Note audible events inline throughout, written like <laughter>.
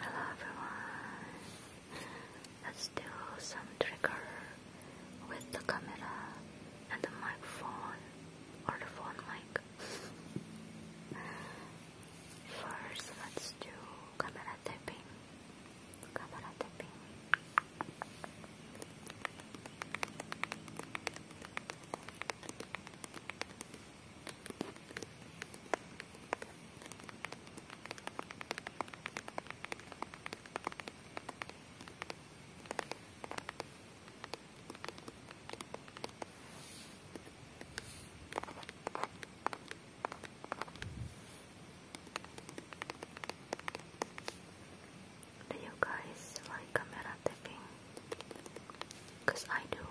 Hello everyone! Let's do some trickery with the camera and the microphone or the phone mic. First, let's do camera tapping. Camera tapping. Do you guys like camera tapping? Because I do.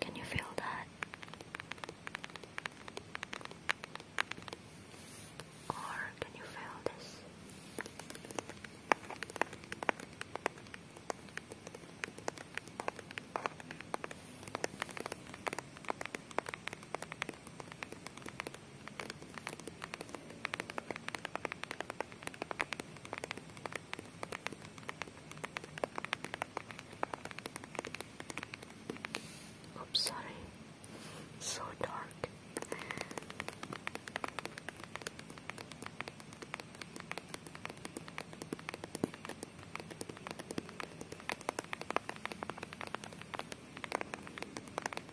Can you feel that? Or can you feel this? Oops, sorry. So dark.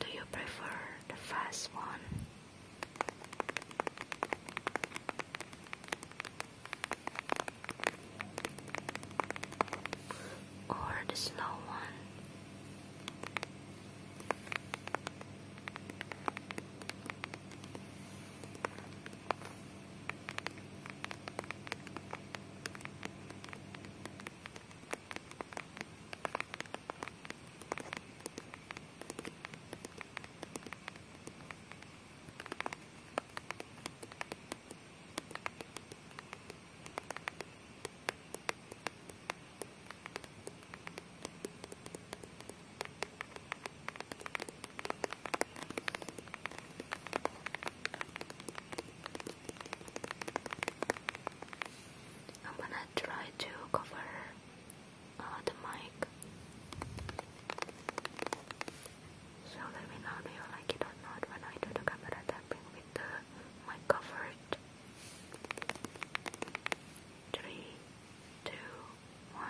Do you prefer the fast one? or the slow one? I'm gonna try to cover uh, the mic so let me know do you like it or not when I do the camera tapping with the my comfort. Three, two, one.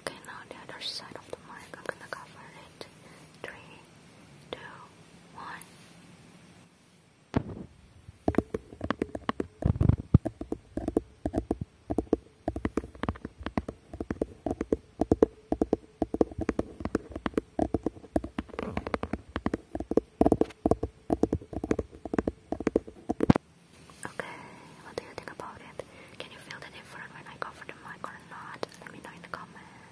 Okay, now the other side of the mic. I'm gonna cover it. Three, two, one. Okay, what do you think about it? Can you feel the difference when I cover the mic or not? Let me know in the comments.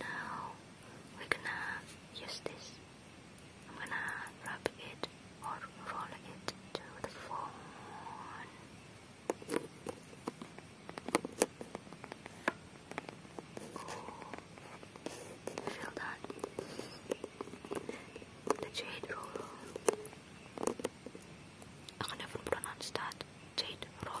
Now we're gonna use this. I'm gonna rub it or roll it to the phone. feel that? The jade roll. I can never pronounce that. Jade roller.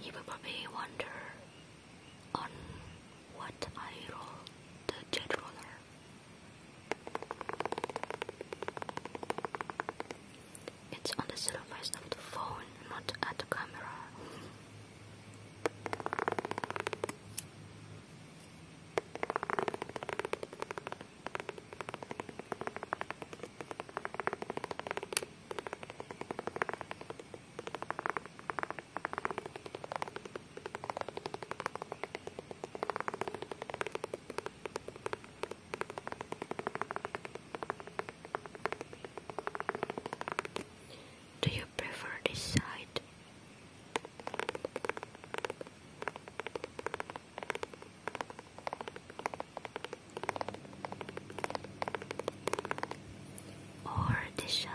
You will probably wonder on what I roll the jet roller. It's on the surface of the phone, not at the camera. Do you prefer this side? Or this side?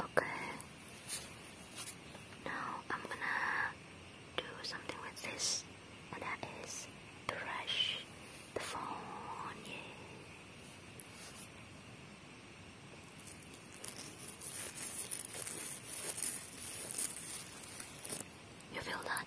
Okay. Now I'm gonna do something with this, and that is brush the phone. You feel that?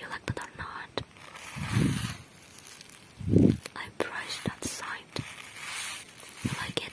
You like that or not? I brushed that side. like it?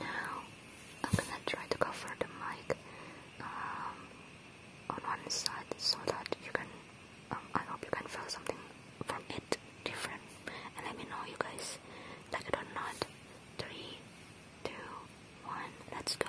Now I'm gonna try to cover the mic um, on one side so that you can. Um, I hope you can feel something from it different, and let me know you guys like it or not. Three, two, one, let's go.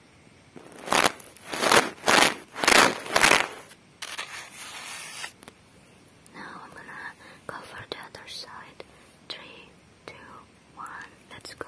Now I'm gonna go for the other side. Three, two, one, let's go.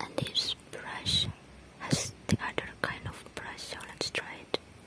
And this brush has the other kind of brush, so let's try it.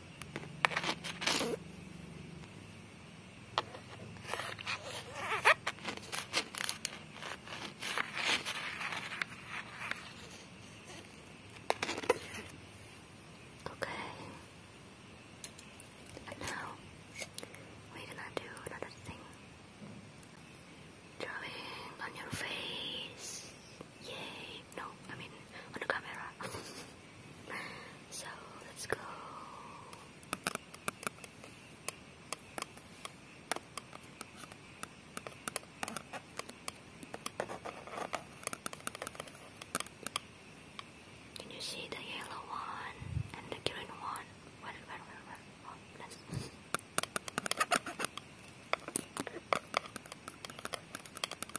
Okay. And now we gonna do another thing. Drawing on your face. Yay no, I mean on the camera. so let's go. Can you see the yellow one and the green one? Where, where, where, where? Oh, that's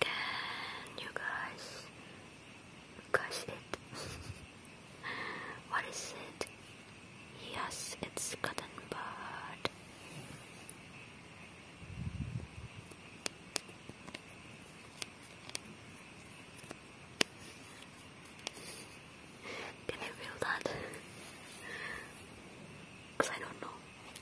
Can you guys guess it? <laughs> what is it? Yes, it's cotton bud. Can you feel that? Because <laughs> I don't know.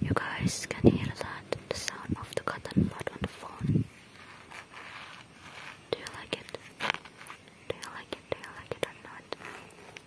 You guys can hear that, the sound of the cotton bud on the phone. Do you like it? Do you like it? Do you like it or not?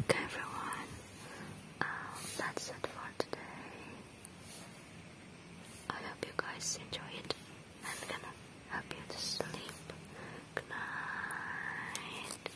Okay, everyone, um, that's it for today. I hope you guys enjoyed. I'm gonna help you to sleep. Good night.